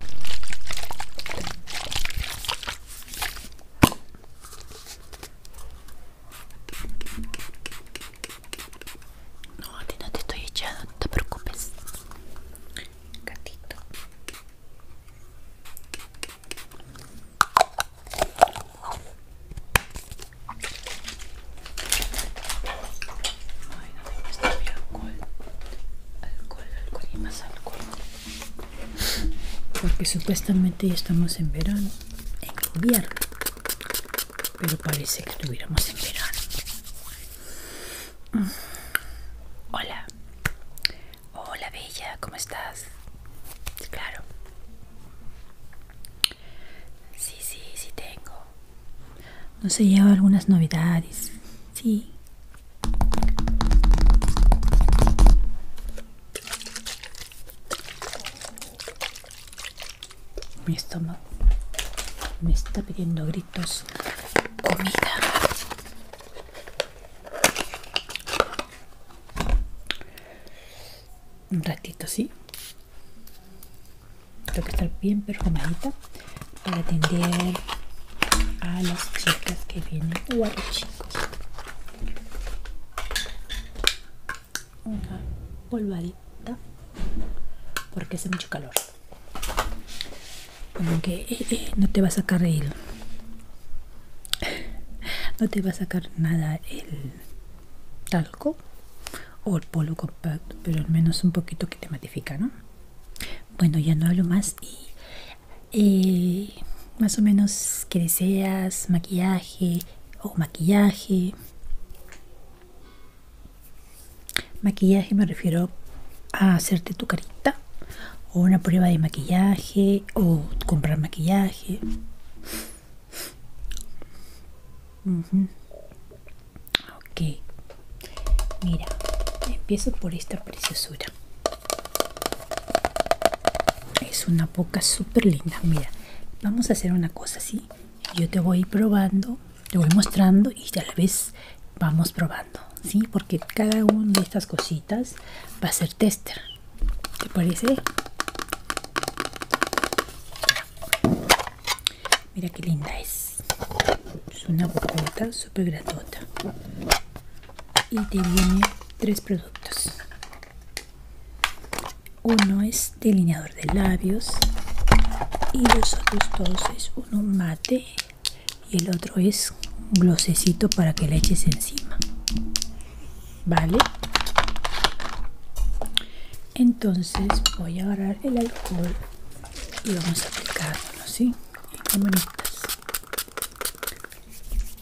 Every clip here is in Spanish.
No, te estoy echando, no te preocupes alcohol. Alcohol, alcohol y más alcohol. Porque supuestamente ya estamos en verano, en invierno. Pero parece que estuviéramos en verano. Hola. Hola, Bella, ¿cómo estás? Claro. Sí, sí, sí tengo. No se lleva algunas novedades. Sí, mi estómago me está pidiendo gritos comida. Un ratito, ¿sí? Tengo que estar bien perfumadita para atender a las chicas que vienen o chicos. Una polvadita porque hace mucho calor. Como que eh, eh, eh, no te va a sacar el. No te va a sacar nada el talco o el polvo compacto, pero al menos un poquito que te matifica, ¿no? Bueno, ya no hablo más y eh, más o menos que deseas maquillaje o maquillaje. Maquillaje me refiero a hacerte tu carita o una prueba de maquillaje o comprar maquillaje ok mira empiezo por esta preciosura es una boca súper linda mira vamos a hacer una cosa así yo te voy probando te voy mostrando y ya la vez vamos probando sí porque cada una de estas cositas va a ser tester ¿te parece? Mira qué linda es. Es una bocota súper gratuita Y te viene tres productos. Uno es delineador de labios. Y los otros dos es uno mate. Y el otro es un glosecito para que le eches encima. ¿Vale? Entonces voy a agarrar el alcohol y vamos a aplicarlo, ¿sí?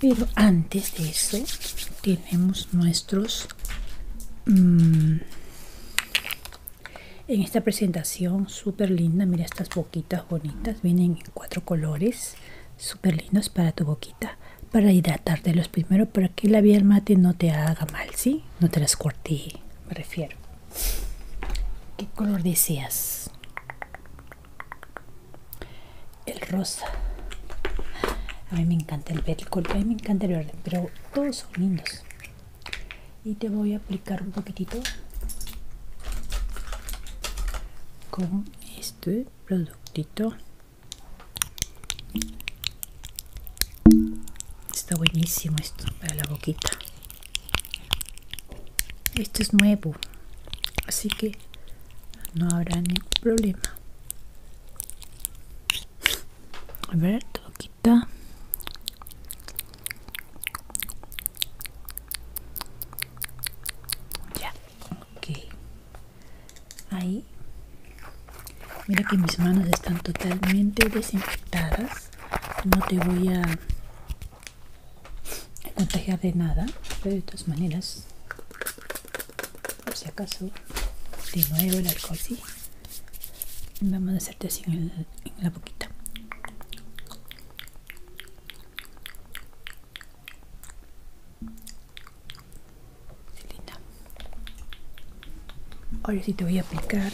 Pero antes de eso tenemos nuestros... Mm, en esta presentación súper linda, mira estas boquitas bonitas, vienen en cuatro colores, super lindos para tu boquita, para hidratarte los primero, para que la vida mate no te haga mal, si No te las corte, me refiero. ¿Qué color decías? El rosa. A mí me encanta el verde, a mí me encanta el verde, pero todos son lindos. Y te voy a aplicar un poquitito con este productito. Está buenísimo esto para la boquita. Esto es nuevo, así que no habrá ningún problema. A ver, todo quita. Ya, ok. Ahí. Mira que mis manos están totalmente desinfectadas no te voy a, contagiar de nada pero de todas maneras por si acaso de nuevo el alcohol sí vamos a hacerte así en, la boquita Ahora sí te voy a aplicar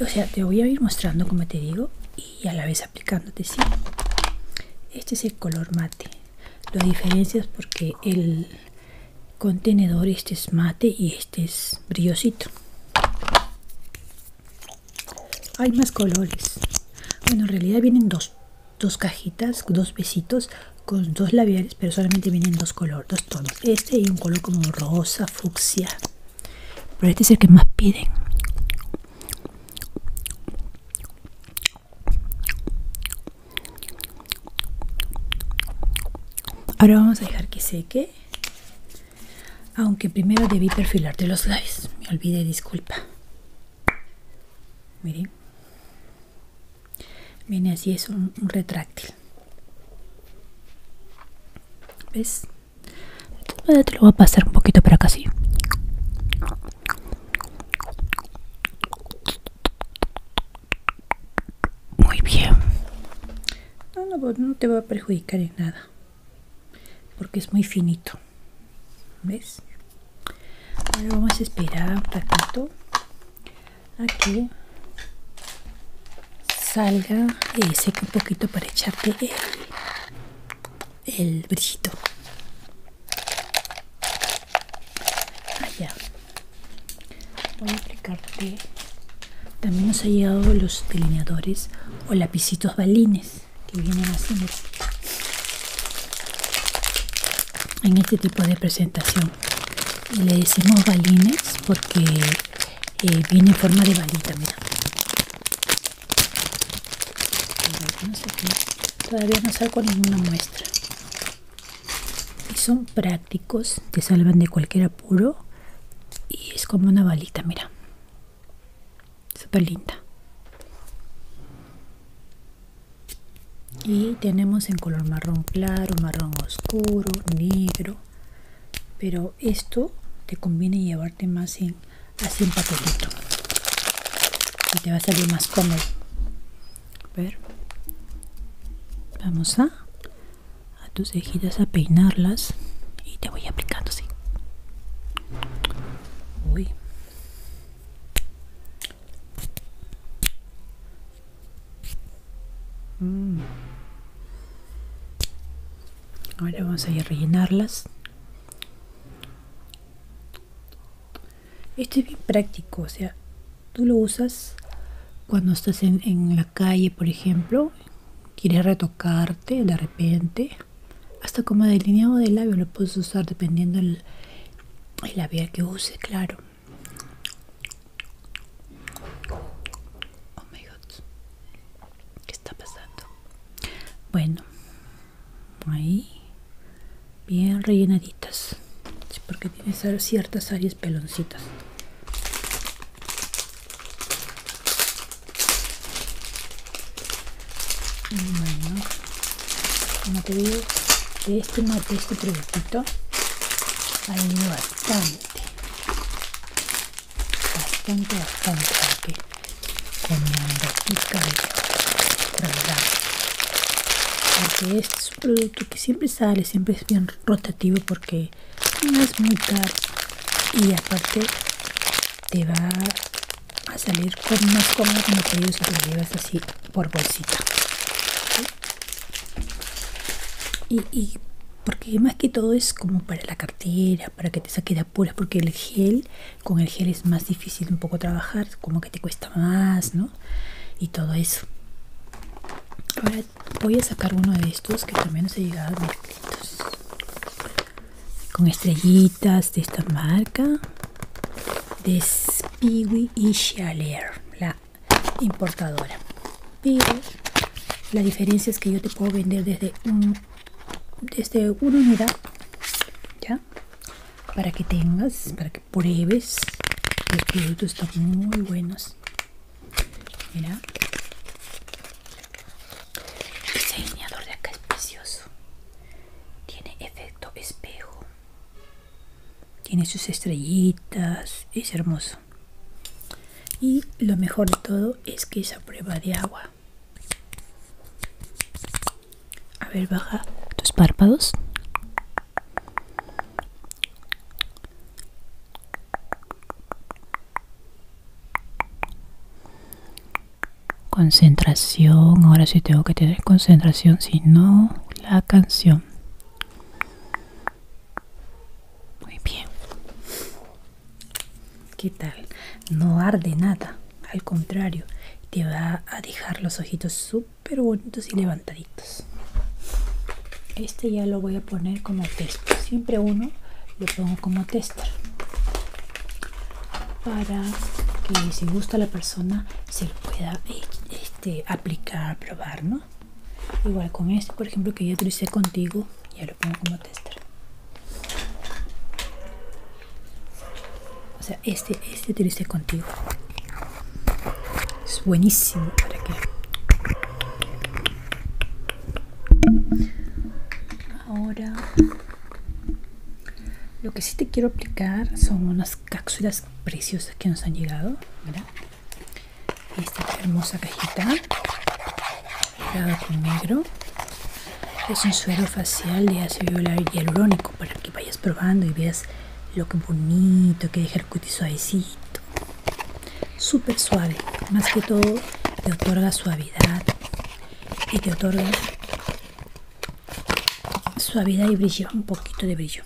o sea, te voy a ir mostrando como te digo y a la vez aplicándote, ¿sí? Este es el color mate. Lo diferencias porque el contenedor este es mate y este es brillosito. Hay más colores. Bueno, en realidad vienen dos, dos cajitas, dos besitos con dos labiales, pero solamente vienen dos colores, dos tonos. Este y un color como rosa, fucsia, pero este es el que más piden. Ahora vamos a dejar que seque. Aunque primero debí perfilarte los labios. Me olvidé, disculpa. Miren. Viene así, es un, un retráctil. ¿Ves? te lo voy a pasar un poquito para acá así. Muy bien. No, no, pues, no te va a perjudicar en nada. Porque es muy finito. ¿Ves? Ahora vamos a esperar un ratito. Aquí salga y seque un poquito para echarte el, el brillito allá ah, voy a aplicarte también nos ha llegado los delineadores o lapicitos balines que vienen así en este tipo de presentación le decimos balines porque eh, viene en forma de balita, mira. Todavía no salgo ninguna muestra. Y son prácticos, te salvan de cualquier apuro. Y es como una balita, mira. Súper linda. Y tenemos en color marrón claro, marrón oscuro, negro. Pero esto te conviene llevarte más en así un papelito y te va a salir más cómodo ver vamos a a tus cejitas a peinarlas y te voy aplicando así uy Mm. Ahora vamos a ir a rellenarlas. Esto es bien práctico, o sea, tú lo usas cuando estás en, la calle, por ejemplo, quieres retocarte de repente, hasta como delineado del labio lo puedes usar dependiendo el, el labial que use, claro. Oh my god, ¿qué está pasando? Bueno, ahí, bien rellenaditas, porque tiene ciertas áreas peloncitas. Bueno, como te digo, de este mate, este producto, hay bastante bastante bastante bastante con mi pizca de verdad. porque este es un producto que siempre sale siempre es bien rotativo porque no es muy caro y aparte te va a salir con más cómodo como que digo si lo llevas así por bolsita y, porque más que todo es como para la cartera, para que te saque de apuras, porque el gel, con el gel es más difícil un poco trabajar, como que te cuesta más, ¿no? Y todo eso. Ahora voy a sacar uno de estos que también nos ha llegado con estrellitas de esta marca de Spiwi y Chaler, la importadora. Pero la diferencia es que yo te puedo vender desde, un, desde una unidad, ¿ya? Para que tengas, para que pruebes. Los productos están muy buenos. Mira. el diseñador de acá es precioso. Tiene efecto espejo. Tiene sus estrellitas. Es hermoso y lo mejor de todo es que esa prueba de agua a ver baja tus párpados concentración ahora sí tengo que tener concentración si no la canción muy bien. ¿Qué tal? No arde nada, al contrario, te va a dejar los ojitos súper bonitos y levantaditos. Este ya lo voy a poner como texto. Siempre uno lo pongo como tester. Para que si gusta la persona se lo pueda eh, este, aplicar, probar, ¿no? igual con este por ejemplo que ya utilicé contigo ya lo pongo como tester o sea este este utilicé contigo es buenísimo para que ahora lo que sí te quiero aplicar son unas cápsulas preciosas que nos han llegado ¿verdad? esta hermosa cajita con negro es un suero facial de ácido hialurónico para que vayas probando y veas lo que bonito que deja el cutis suavecito super suave más que todo te otorga suavidad y te otorga suavidad y brillo un poquito de brillo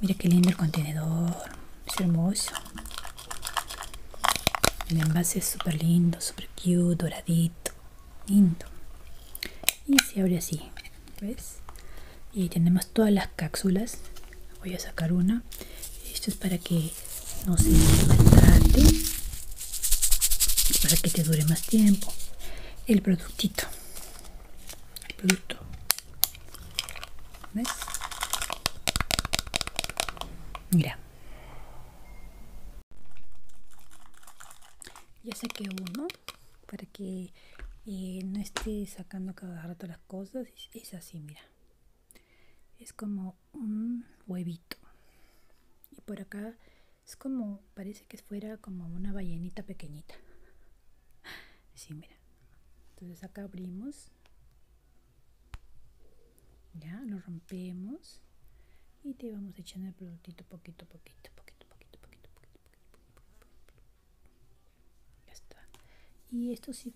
Mira qué lindo el contenedor. Es hermoso. El envase es súper lindo, super cute, doradito. Lindo. Y se abre así. ¿Ves? Y tenemos todas las cápsulas. Voy a sacar una. Esto es para que no se maltrate. Para que te dure más tiempo. El productito. El producto. ¿Ves? Mira. Ya saqué uno para que eh, no esté sacando cada rato las cosas. Es así, mira. Es como un huevito. Y por acá es como, parece que fuera como una ballenita pequeñita si mira. Entonces acá abrimos. Ya, lo rompemos. Y te vamos echando el productito poquito, poquito, poquito, poquito, poquito, poquito, poquito, poquito, Y esto sí,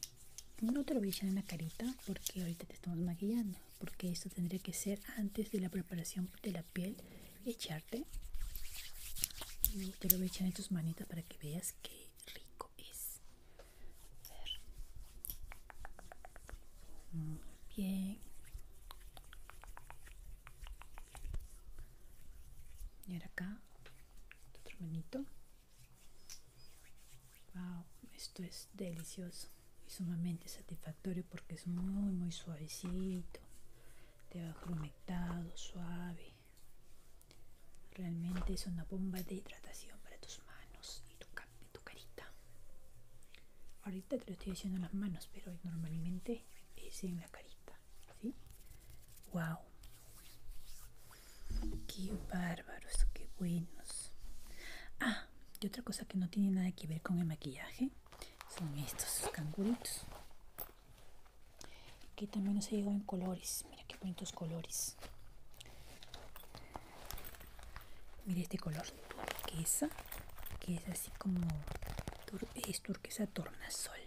no te lo voy a echar en la carita porque ahorita te estamos maquillando. Porque esto tendría que ser antes de la preparación de la piel, echarte. Y te lo voy a echar en tus manitas para que veas que rico es. A ver. Muy bien. Y acá, este otro manito. Wow, esto es delicioso y sumamente satisfactorio porque es muy, muy suavecito. Te va conectado suave realmente es una bomba de hidratación para tus manos y tu, carita ahorita te lo estoy haciendo en las manos pero normalmente es en la carita wow qué bárbaros qué buenos ah y otra cosa que no tiene nada que ver con el maquillaje son estos canguritos que también ha llegó en colores. Mira qué bonitos colores. Mira este color turquesa, que es así como es turquesa tornasol.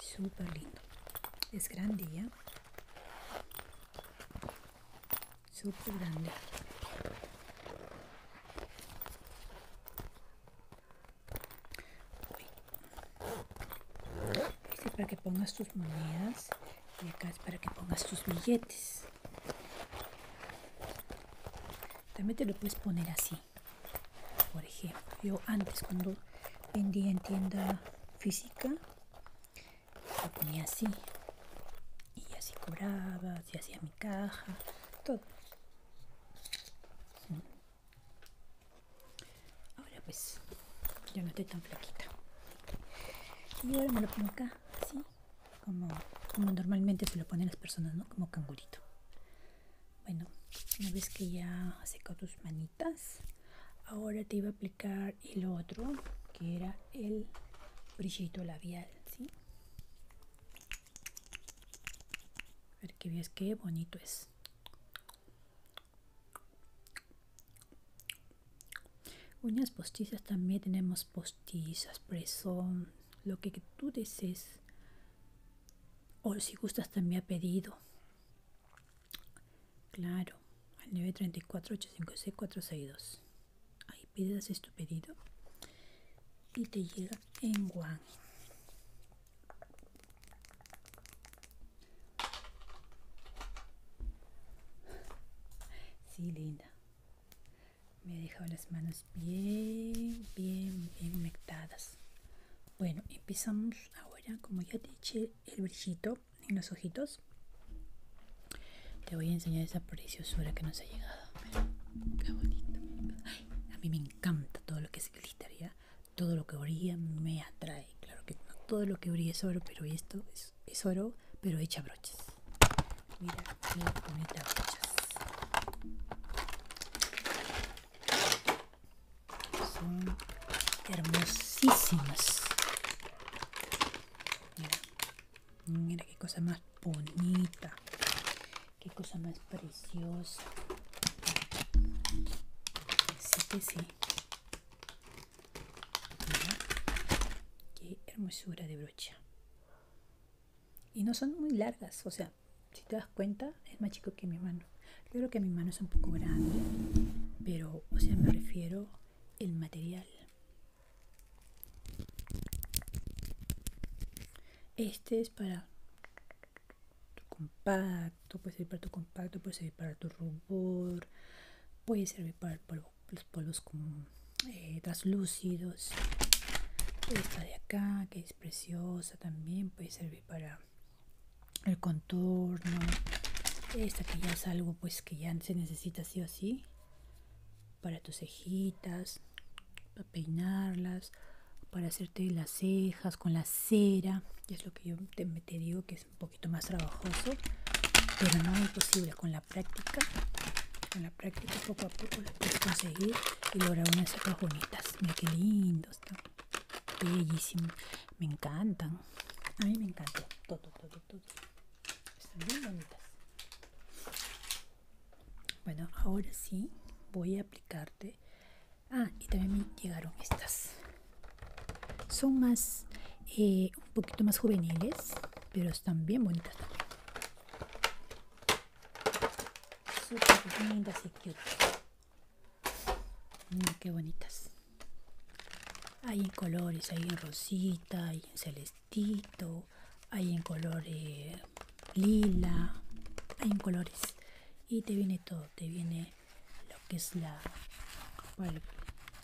Súper lindo. Es grande ya. Súper grande. Este es para que pongas tus monedas y acá es para que pongas tus billetes. También te lo puedes poner así. Por ejemplo, yo antes cuando vendía en tienda física, lo ponía así. Y así cobraba, así hacía mi caja, todo. Ahora pues, ya no estoy tan flaquita. Y ahora me lo pongo acá, así, como, como normalmente se lo ponen las personas, ¿no? Como cangurito. Bueno, una vez que ya has tus manitas, ahora te iba a aplicar el otro, que era el brillito labial, ¿sí? A ver que veas qué bonito es. Uñas postizas también tenemos postizas, presón, lo que tú desees. O si gustas también ha pedido. Claro, al 934-856-462. Ahí pides tu pedido y te llega en Guan. Sí, linda. Me ha dejado las manos bien, bien, bien humectadas. Bueno, empezamos ahora, como ya te eché el brillito en los ojitos. Te voy a enseñar esa preciosura que nos ha llegado. qué a mí me encanta todo lo que es glitter, ¿ya? todo lo que brilla me atrae. Claro que no todo lo que brilla es oro, pero esto es, oro, pero hecha brochas. Mira qué bonitas brochas. Son hermosísimas. Mira, mira qué cosa más bonita. Qué cosa más precioso. sí que sí. hermosura de brocha. Y no son muy largas, o sea, si te das cuenta, es más chico que mi mano. creo que mi mano es un poco grande, pero, o sea, me refiero el material. Este es para tu compacto, puede servir para tu compacto, puede servir para tu rubor, puede servir para los polvos como eh, translúcidos. Esta de acá, que es preciosa también, puede servir para el contorno. Esta que ya es algo pues que ya se necesita así o así Para tus cejitas, para peinarlas, para hacerte las cejas con la cera que es lo que yo te, digo que es un poquito más trabajoso pero no es imposible con la práctica con la práctica poco a poco lo puedes conseguir y lograr unas cejas bonitas mira que lindos están bellísimos me encantan a mí me encantó todo todo todo están bien bonitas bueno ahora sí voy a aplicarte ah y también me llegaron estas son más eh, un poquito más juveniles pero están bien bonitas también súper lindas y cute mm, qué bonitas hay en colores hay en rosita hay en celestito hay en colores lila, hay en colores. Y te viene todo, te viene lo que es la... Bueno,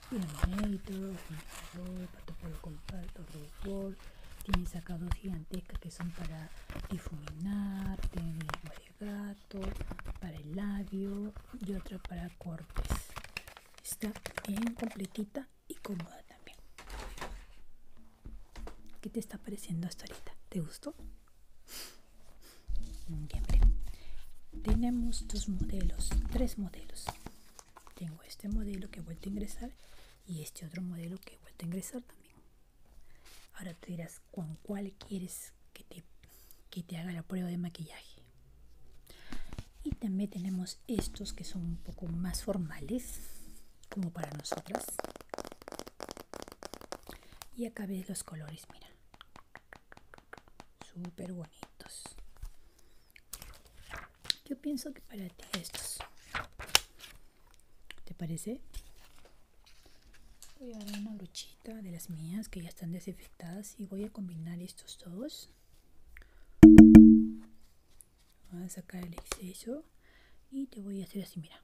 color, para color, compacto, Tienes acá dos gigantescas que son para difuminar, tiene gato, para el labio y otra para cortes. Está bien completita y cómoda también. ¿Qué te está pareciendo hasta ahorita? ¿Te gustó? Mm, tenemos dos modelos, tres modelos. Tengo este modelo que he vuelto a ingresar y este otro modelo que he vuelto a ingresar también. Ahora te dirás, ¿con cuál quieres que te, que te haga la prueba de maquillaje? Y también tenemos estos que son un poco más formales, como para nosotras y acá ves los colores mira súper bonitos yo pienso que para ti estos te parece voy a dar una luchita de las mías que ya están desinfectadas y voy a combinar estos dos voy a sacar el exceso y te voy a hacer así mira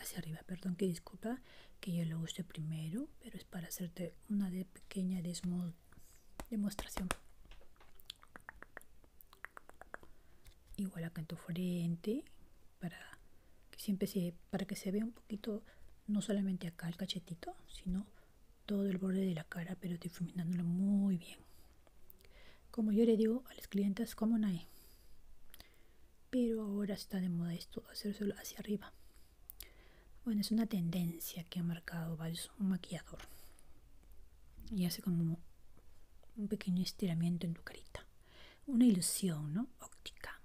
hacia arriba perdón que disculpa que yo lo use primero pero es para hacerte una de pequeña demostración igual acá en tu frente para que siempre se para que se vea un poquito no solamente acá el cachetito sino todo el borde de la cara pero difuminándolo muy bien como yo le digo a las clientes como nadie pero ahora está de moda esto, hacérselo hacia arriba. Bueno, es una tendencia que ha marcado varios un maquillador. Y hace como un pequeño estiramiento en tu carita. Una ilusión, ¿no? Óptica.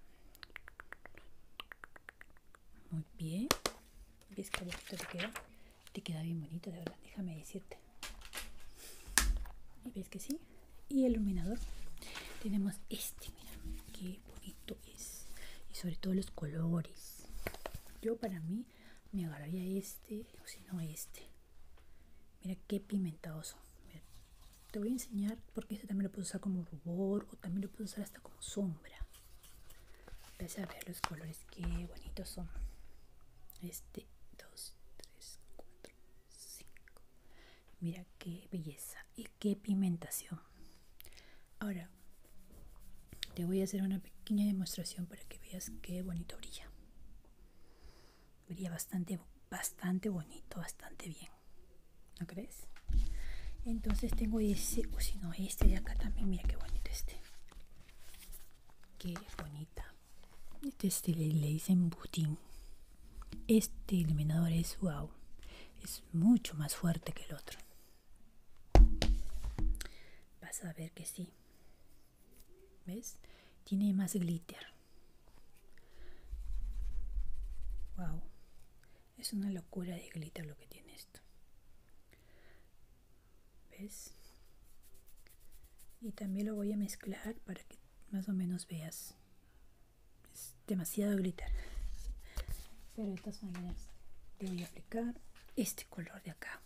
Muy bien. ¿Ves que te queda? Te queda bien bonito, de verdad. Déjame decirte y que sí y el iluminador tenemos este mira que bonito es y sobre todo los colores yo para mí me agarraría este o si no este mira qué pimentado. son te voy a enseñar porque este también lo puedo usar como rubor o también lo puedo usar hasta como sombra vas a ver los colores qué bonitos son este 2 3 4 5 Mira qué belleza y qué pigmentación. Ahora te voy a hacer una pequeña demostración para que veas qué bonito brilla. Brilla bastante, bastante bonito, bastante bien. ¿No crees? Entonces tengo ese, o si no, este de acá también. Mira qué bonito este. Qué bonita. Este le, le dicen butín. Este iluminador es wow. Es mucho más fuerte que el otro. Vas a ver que sí. ¿Ves? Tiene más glitter. Wow. Es una locura de glitter lo que tiene esto. ¿Ves? Y también lo voy a mezclar para que más o menos veas. Es demasiado glitter. Pero de todas maneras te voy a aplicar este color de acá.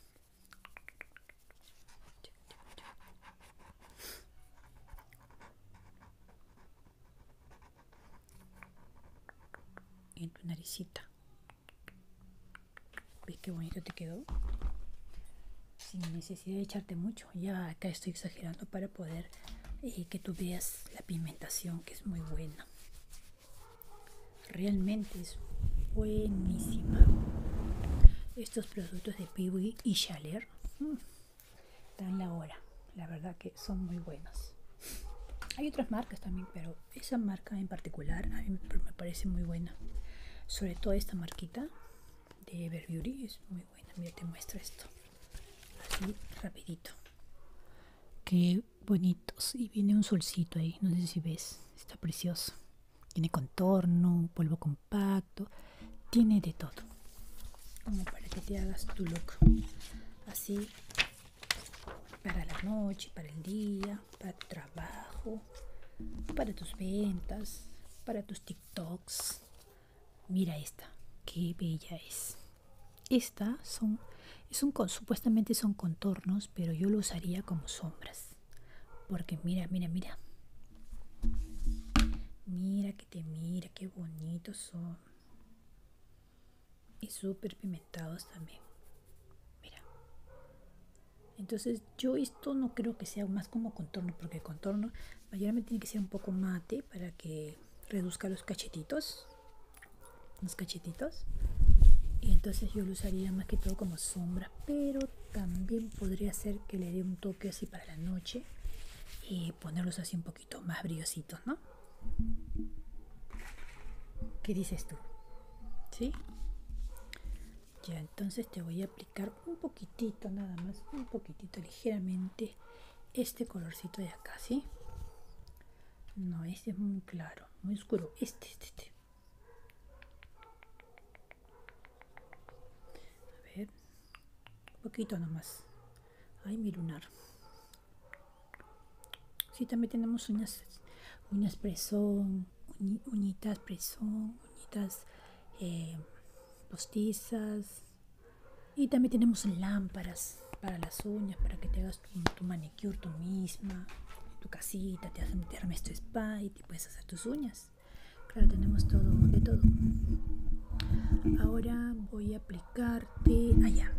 En tu naricita. ¿Ves qué bonito te quedó? Sin necesidad de echarte mucho ya acá estoy exagerando para poder eh, que tú veas la pigmentación que es muy buena realmente es buenísima estos productos de Peewee y Chaler están mm, la hora la verdad que son muy buenas hay otras marcas también pero esa marca en particular a me parece muy buena sobre todo esta marquita de Everbeauty es muy buena. Mira, te muestro esto. Así, rapidito. que bonitos. Y viene un solcito ahí. No sé si ves. Está precioso. Tiene contorno, polvo compacto. Tiene de todo. Como para que te hagas tu look. Así. Para la noche, para el día, para tu trabajo, para tus ventas, para tus tiktoks Mira esta, qué bella es. Esta son, es un, supuestamente son contornos, pero yo lo usaría como sombras. Porque mira, mira, mira. Mira que te mira, qué bonitos son. Y súper pimentados también. Mira. Entonces yo esto no creo que sea más como contorno, porque el contorno mayormente tiene que ser un poco mate para que reduzca los cachetitos. Los cachetitos. Y entonces yo lo usaría más que todo como sombra, pero también podría ser que le dé un toque así para la noche y ponerlos así un poquito más brillositos, ¿no? ¿Qué dices tú? ¿Sí? ya entonces te voy a aplicar un poquitito nada más un poquitito ligeramente este colorcito de acá sí no este es muy claro muy oscuro este este, este. a ver un poquito nomás ay mi lunar si sí, también tenemos unas uñas uñitas presón, uñitas eh, postizas. Y también tenemos lámparas para las uñas, para que te hagas tu, manicure tú misma, tu casita, te, haces esto tu spa y te puedes hacer tus uñas. Claro, tenemos todo, de todo. Ahora voy a aplicarte allá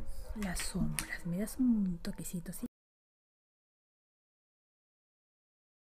las sombras. Me das un toquecito, así